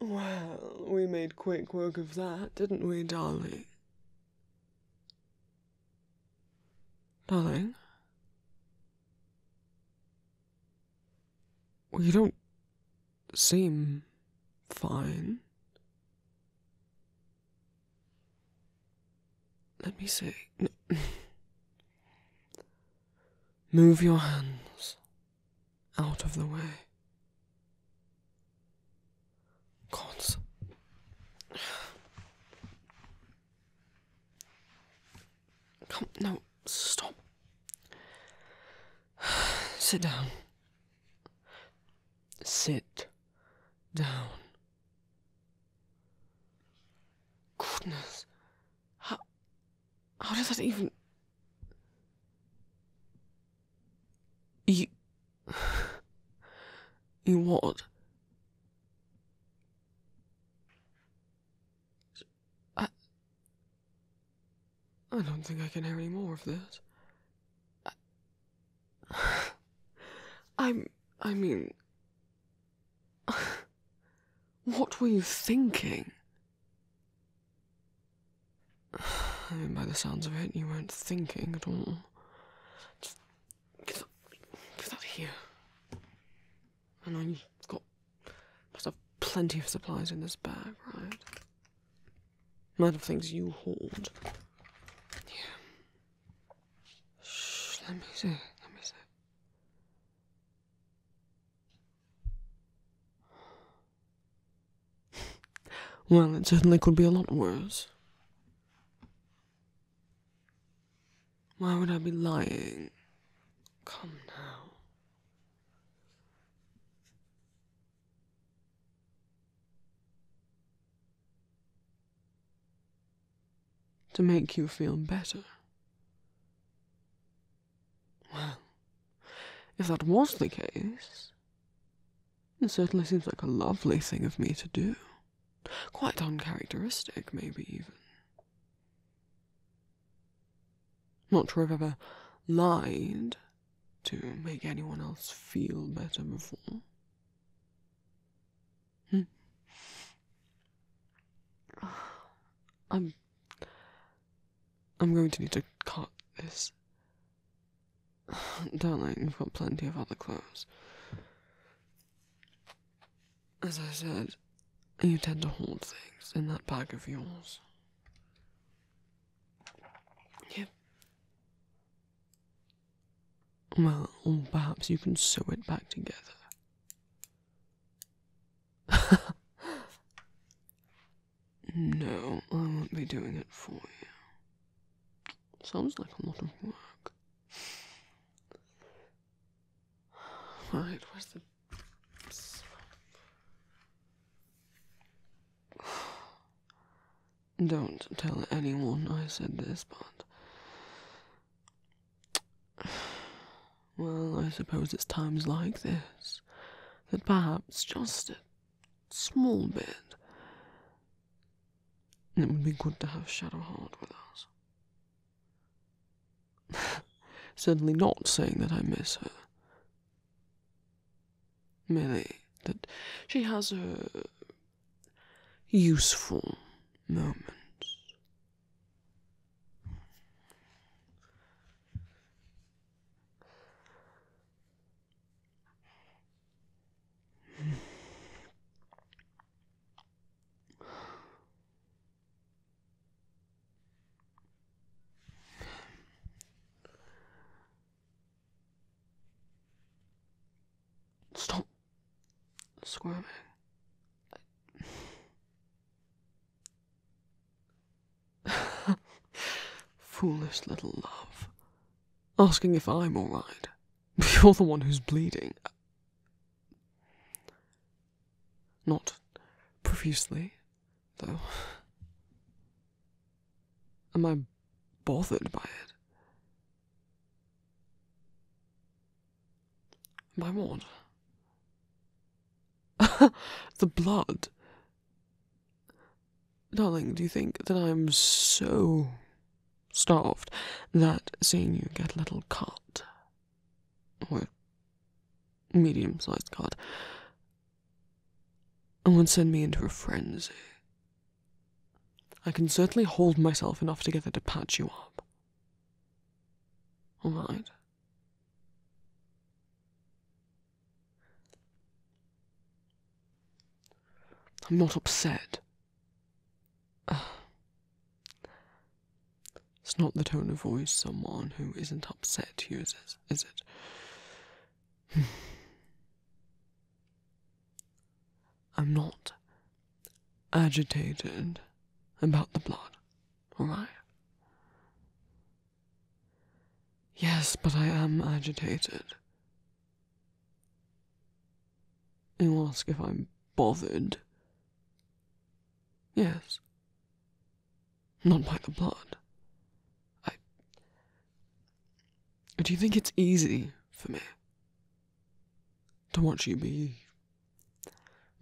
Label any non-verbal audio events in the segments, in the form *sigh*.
Well, we made quick work of that, didn't we, darling? Darling? you don't seem fine. Let me see. *laughs* Move your hands out of the way. Gods. Come, no, stop. Sit down. Sit down. Goodness. How, how does that even you. *sighs* You what? I. I don't think I can hear any more of this. I, *sighs* I'm. I mean. *sighs* What were you thinking? I mean, by the sounds of it, you weren't thinking at all. Just get up, here. And I've got must have plenty of supplies in this bag, right? A lot of things you hold. Yeah. Shh, let me see. Let me see well, it certainly could be a lot worse. Why would I be lying? Come now. To make you feel better. Well, if that was the case, it certainly seems like a lovely thing of me to do. Quite uncharacteristic, maybe even. Not to have ever lied to make anyone else feel better before. Hmm. *sighs* I'm I'm going to need to cut this. *sighs* Darling, you've got plenty of other clothes. As I said, you tend to hold things in that bag of yours. Yep. Well, perhaps you can sew it back together no, I won't be doing it for you. Sounds like a lot of work. Right, where's the. *sighs* Don't tell anyone I said this, but *sighs* Well, I suppose it's times like this that perhaps just a small bit. It would be good to have Shadowheart with us. *laughs* Certainly not saying that I miss her. Merely that she has her useful moments. Stop squirming. *laughs* Foolish little love. Asking if I'm alright. *laughs* You're the one who's bleeding. Not profusely, though. Am I bothered by it? By what? *laughs* the blood. Darling, do you think that I'm so starved that seeing you get a little cut, or medium sized cut, would send me into a frenzy? I can certainly hold myself enough together to patch you up. All oh right. I'm not upset. Ah. it's not the tone of voice someone who isn't upset uses, is it? *sighs* I'm not agitated about the blood, am I? Yes, but I am agitated. You ask if I'm bothered. Yes. Not by the blood. I. Do you think it's easy for me to watch you be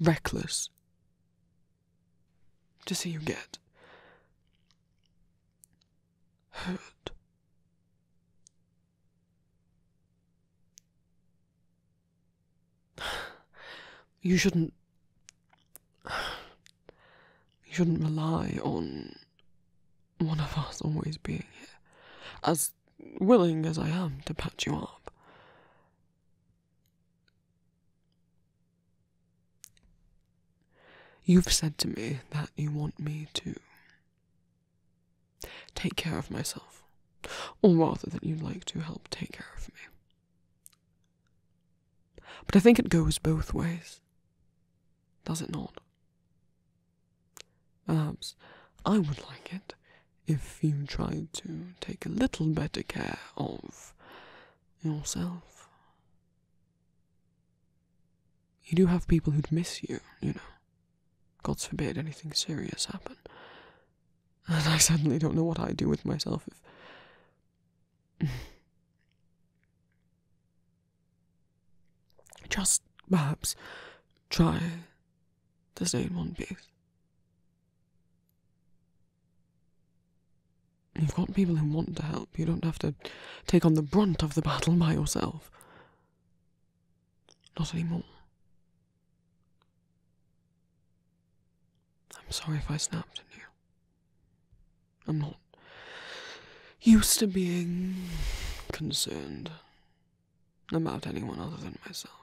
reckless. To see you get hurt. You shouldn't. You shouldn't rely on one of us always being here. As willing as I am to patch you up. You've said to me that you want me to take care of myself, or rather, that you'd like to help take care of me. But I think it goes both ways, does it not? Perhaps I would like it if you try to take a little better care of yourself. You do have people who'd miss you, you know. God forbid anything serious happen. And I certainly don't know what I'd do with myself if. *sighs* Just perhaps try to stay in one piece. You've got people who want to help. You don't have to take on the brunt of the battle by yourself. Not anymore. I'm sorry if I snapped at you. I'm not used to being concerned about anyone other than myself.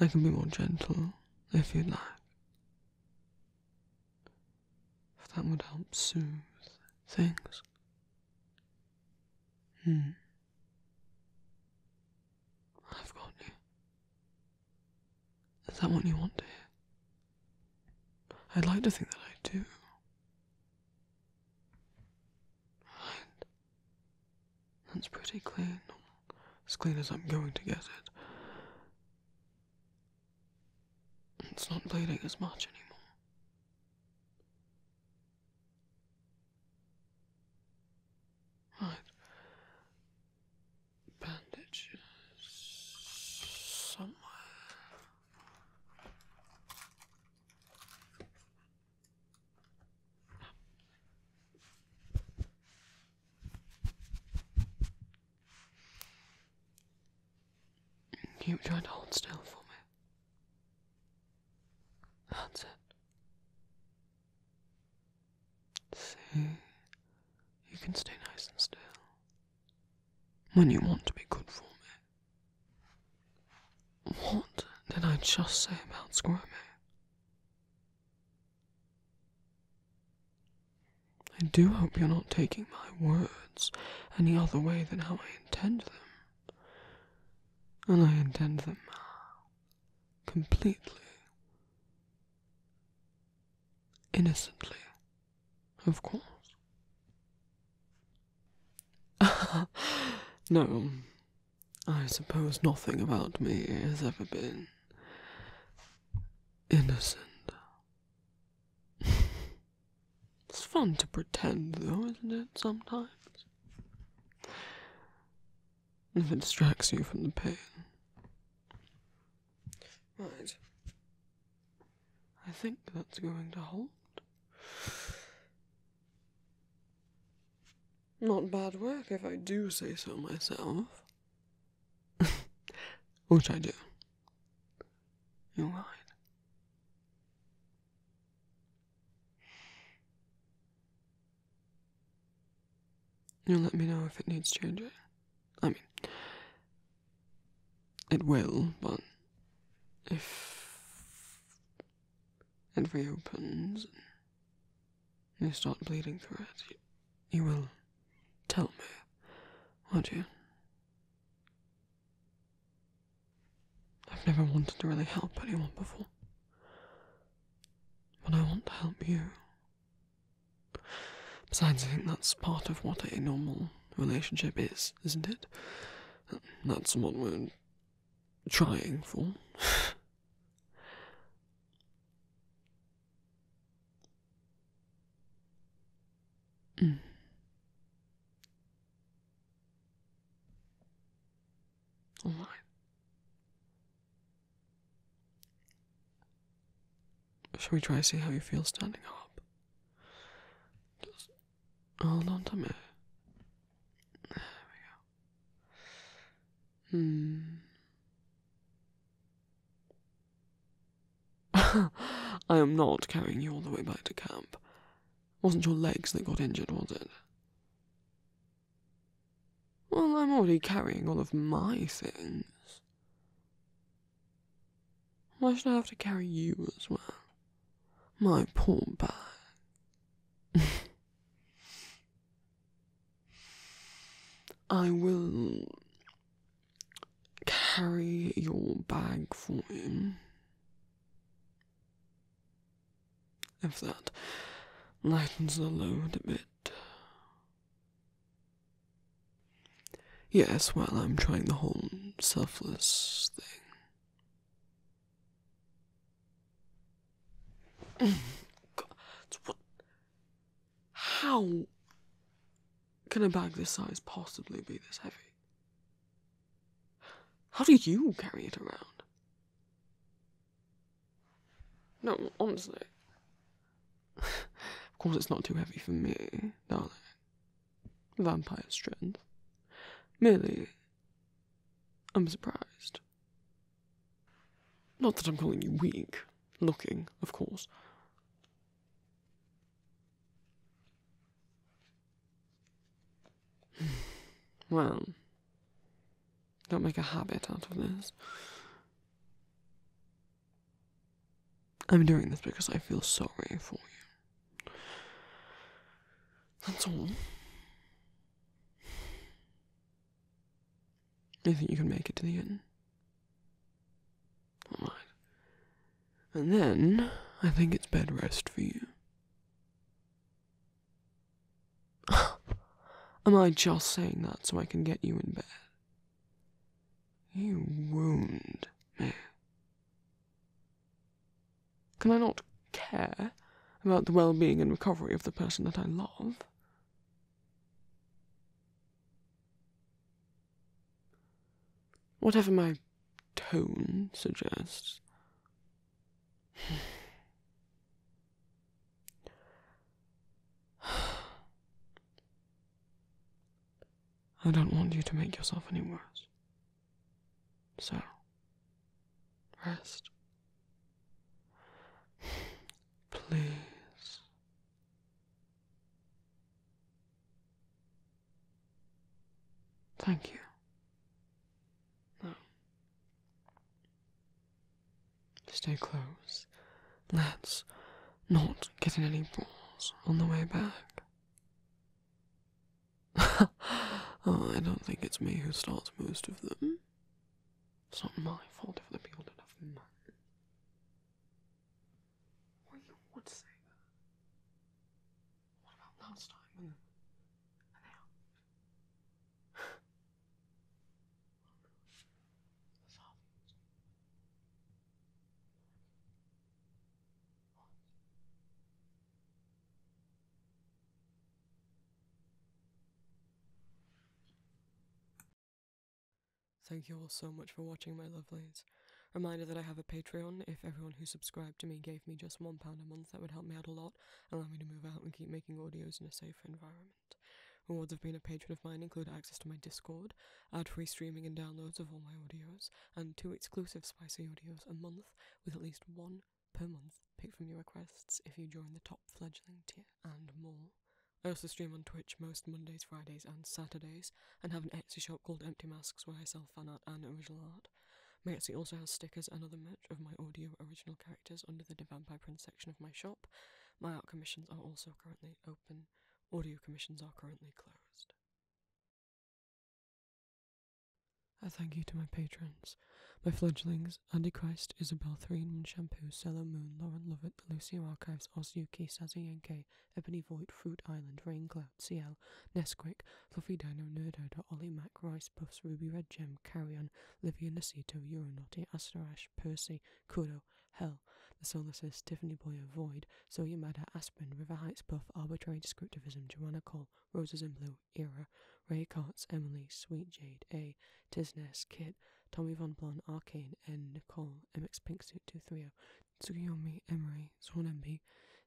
I can be more gentle if you'd like. If that would help soothe things. Hmm. I've got you. Is that what you want to hear? I'd like to think that I do. Right. That's pretty clean. As clean as I'm going to get it. It's not bleeding as much anymore. Right bandages somewhere. Keep trying to hold still for me. That's it. See, you can stay nice and still when you want to be good for me. What did I just say about squirming? I do hope you're not taking my words any other way than how I intend them. And I intend them completely. Innocently, of course. *laughs* no, I suppose nothing about me has ever been innocent. *laughs* it's fun to pretend, though, isn't it, sometimes? If it distracts you from the pain. Right. I think that's going to hold. Not bad work if I do say so myself. *laughs* Which I do. You lied. You'll let me know if it needs changing. I mean, it will, but if it reopens and you start bleeding through it, you, you will tell me, won't you? I've never wanted to really help anyone before, but I want to help you Besides, I think that's part of what a normal relationship is, isn't it? That's what we're trying for. *laughs* mm. Should we try to see how you feel standing up? Just hold on to me. There we go. Hmm. *laughs* I am not carrying you all the way back to camp. Wasn't your legs that got injured, was it? Well, I'm already carrying all of my things. I should have to carry you as well? My poor bag. *laughs* I will carry your bag for you. If that lightens the load a bit. Yes, while I'm trying the whole selfless thing. God, what? How can a bag this size possibly be this heavy? How do you carry it around? No, honestly. of course, it's not too heavy for me, darling. Vampire strength. Merely, I'm surprised. Not that I'm calling you weak. Looking, of course. *sighs* well, don't make a habit out of this. I'm doing this because I feel sorry for you. That's all. Do you think you can make it to the end? Alright. And then, I think it's bed rest for you. Am I just saying that so I can get you in bed? You wound me. Can I not care about the well being and recovery of the person that I love? Whatever my tone suggests. *sighs* I don't want you to make yourself any worse. So, rest. *sighs* Please. Thank you. No. Stay close. Let's not get in any balls on the way back. *laughs* oh, I don't think it's me who starts most of them. It's not my fault if they build enough not have money. Well, you would say that. What about last time when they Thank you all so much for watching, my lovelies. Reminder that I have a Patreon. If everyone who subscribed to me gave me just £1 a month, that would help me out a lot allow me to move out and keep making audios in a safer environment. Rewards have been a patron of mine include access to my Discord, ad free streaming and downloads of all my audios, and two exclusive spicy audios a month with at least one per month picked from your requests if you join the top fledgling tier, and more. I also stream on Twitch most Mondays, Fridays, and Saturdays, and have an Etsy shop called Empty Masks where I sell fan art and original art. My Etsy also has stickers and other merch of my audio original under the Vampire Prince section of my shop. My art commissions are also currently open, audio commissions are currently closed. A thank you to my patrons, my fledglings, Andy Christ, Isabel Threenman Shampoo, Cello Moon, Lauren Lovett, The Lucio Archives, Osyuki, Sazayenke, Ebony Void, Fruit Island, Raincloud, Cloud, CL, Nesquick, Fluffy Dino, Nerdo, Ollie Mac, Rice Puffs, Ruby Red Gem, Carry On. Livia, Niceto, Euronauti, Asterash, Percy, Kudo, Hell, the Solaces, Tiffany Boyer, Void, So Yamada, Aspen, River Heights, Puff, Arbitrary Descriptivism, Joanna Cole, Roses in Blue, Era, Ray Cots, Emily, Sweet Jade, A, Tisness, Kit, Tommy Von Blon, Arcane, N, Nicole, MX Pinksuit 230, Tsukuyomi, Emery, Swan MB,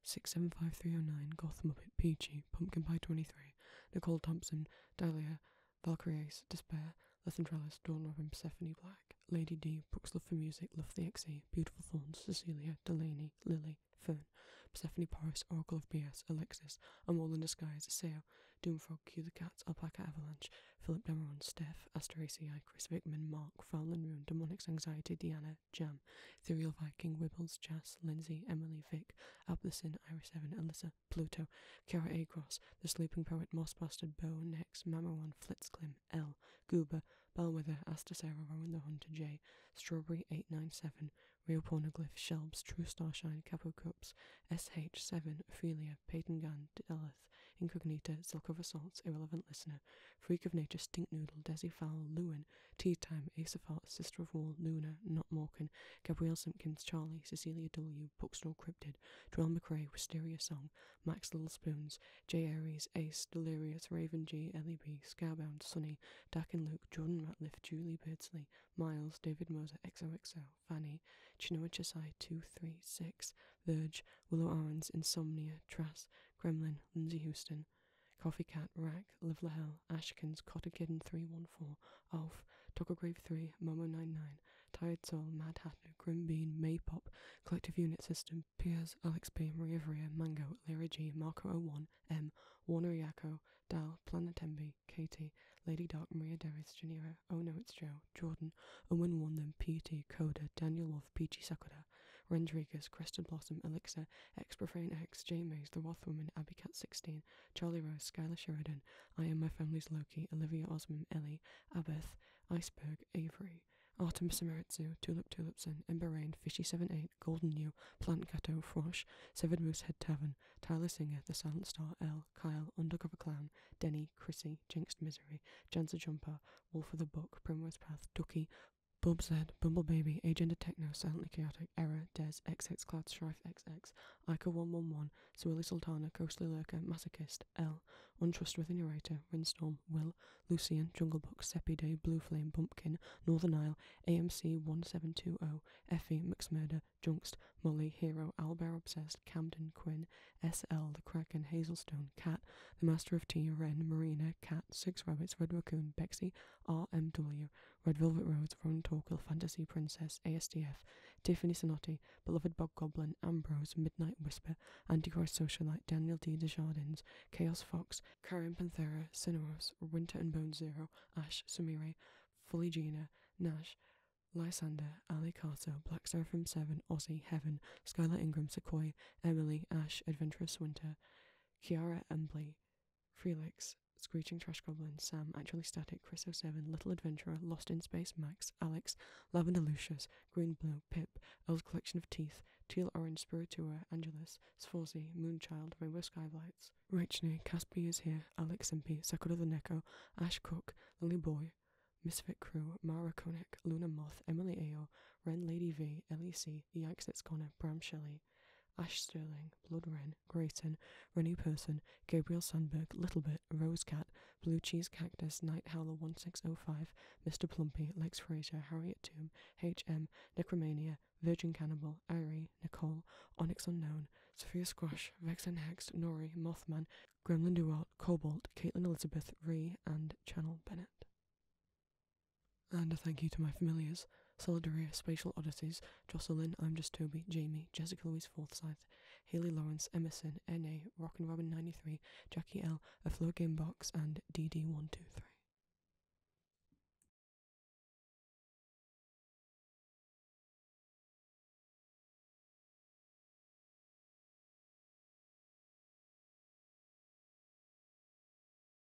675309, Goth Muppet, Peachy, Pumpkin Pie 23, Nicole Thompson, Dahlia, Valkyries, Despair, Lethem Trellis, Dawn of Persephone Black, Lady D, Brooks Love for Music, Love the XE, Beautiful Thorns, Cecilia, Delaney, Lily, Fern, Persephone Paris, Oracle of BS, Alexis, A Mole in Disguise, Seo, Doomfrog, Cue the Cats, Alpaca Avalanche, Philip Demeron, Steph, Asteraci, ACI, Chris Wickman, Mark, Fowlin Room, Demonics Anxiety, Diana, Jam, Ethereal Viking, Wibbles, Jas, Lindsay, Emily, Vic, Jack, Ableson, Iris Seven, Alyssa, Pluto, Kara Cross, The Sleeping Poet, Moss Bastard, Bo, Nex, Mamawan, Flitzclim, L, Goober, Bellwether, Astasera, Rowan the Hunter, J, Strawberry 897, Real Pornoglyph, Shelbs, True Starshine, Capo Cups, SH7, Ophelia, Peyton Gun, Delith, Incognita, Silk of Assaults, Irrelevant Listener, Freak of Nature, Stinknoodle, Desi Fowl, Lewin, Tea Time, Ace of Hearts. Sister of Wall, Luna, Not Morkan. Gabrielle Simpkins, Charlie, Cecilia W., Bookstore Cryptid, Joel McRae, Wisteria Song, Max Littlespoons. Spoons, J. Aries, Ace, Delirious, Raven G, Ellie B, Scarbound, Sunny, Dak and Luke, Jordan Ratliff, Julie Beardsley, Miles, David Moser, XOXO, Fanny, Chinua Chesai, 236, Verge, Willow Arons, Insomnia, Trass, Kremlin. Lindsay Houston, Coffee Cat, Rack, Live hell Ashkins, Cotter Kitten 314, Alf, Togglgrave 3, momo nine Tired Soul, Mad Hatter, Grim Bean, Maypop, Collective Unit System, Piers, Alex B, Maria Vria, Mango, Lyra G, Marco01, M, Warner Yako, Dal, Planetembi, Katie, Lady Dark, Maria Deris, Janira, Oh No It's Joe, Jordan, Owen one them P.T., Coda, Daniel Love, Peachy Sakura, Rendrigus, Crested Blossom, Elixir, X Profane X, J mays The woman abby Cat 16, Charlie Rose, Skylar Sheridan, I Am My Family's Loki, Olivia Osman, Ellie, Abeth, Iceberg, Avery, Artemis Samaritsu, Tulip Tulipson, Ember Rain, Fishy78, Golden New, Plant Gato, Frosh, Severed Moosehead Tavern, Tyler Singer, The Silent Star, L, Kyle, Undercover Clown, Denny, Chrissy, Jinxed Misery, Jancer Jumper, Wolf of the Book, Primrose Path, Ducky, Bub said, Bumble Baby, Agenda Techno, Silently Chaotic, Error, Des, XX Cloud, Strife XX, Ica 111, Swirly Sultana, Ghostly Lurker, Masochist, L, Untrustworthy Narrator, Windstorm, Will, Lucian, Jungle Book, Seppi Day, Blue Flame, Bumpkin, Northern Isle, AMC 1720, Effie, McSmurder, Junkst, Molly, Hero, Owlbear Obsessed, Camden, Quinn, SL, The Kraken, Hazelstone, Cat, The Master of Tea, Wren, Marina, Cat, Six Rabbits, Red Raccoon, R. M. RMW, Red Velvet Roads, Ronan Torquil, Fantasy Princess, ASDF, Tiffany Sonotti, Beloved Bog Goblin, Ambrose, Midnight Whisper, Antichrist Socialite, Daniel D. Desjardins, Chaos Fox, Karen Panthera, Cineros, Winter and Bone Zero, Ash, Sumire, Fully Nash, Lysander, Ali Carter, Black Seraphim 7, Aussie, Heaven, Skylar Ingram, Sequoia, Emily, Ash, Adventurous Winter, Kiara Embley, Frelix. Screeching Trash Goblin, Sam, Actually Static, Chris 07, Little Adventurer, Lost in Space, Max, Alex, Lavender Lucius, Green Blue, Pip, Old Collection of Teeth, Teal Orange Spiritua, Angelus, Sforzi, Moonchild, Rainbow Skylights, Rachne, Caspi is Here, Alex Impy, Sakura the Neko, Ash Cook, Lily Boy, Misfit Crew, Mara Koenig, Luna Moth, Emily Ao, Ren Lady V, The Yanks That's Corner, Bram Shelley, Ash Sterling, Blood Wren, Grayton, Rennie Person, Gabriel Sandberg, Littlebit, Rose Cat, Blue Cheese Cactus, Night Howler 1605, Mr. Plumpy, Lex Fraser, Harriet Tomb, H.M., Necromania, Virgin Cannibal, Irie, Nicole, Onyx Unknown, Sophia Squash, Vex and Hexed, Nori, Mothman, Gremlin Duart, Cobalt, Caitlin Elizabeth, Ree, and Channel Bennett. And a thank you to my familiars Solidaria, Spatial Oddities, Jocelyn, I'm Just Toby, Jamie, Jessica Louise Forsyth, Haley Lawrence, Emerson, N.A., Rockin' Robin 93, Jackie L., A Flow Game Box, and D. D. 123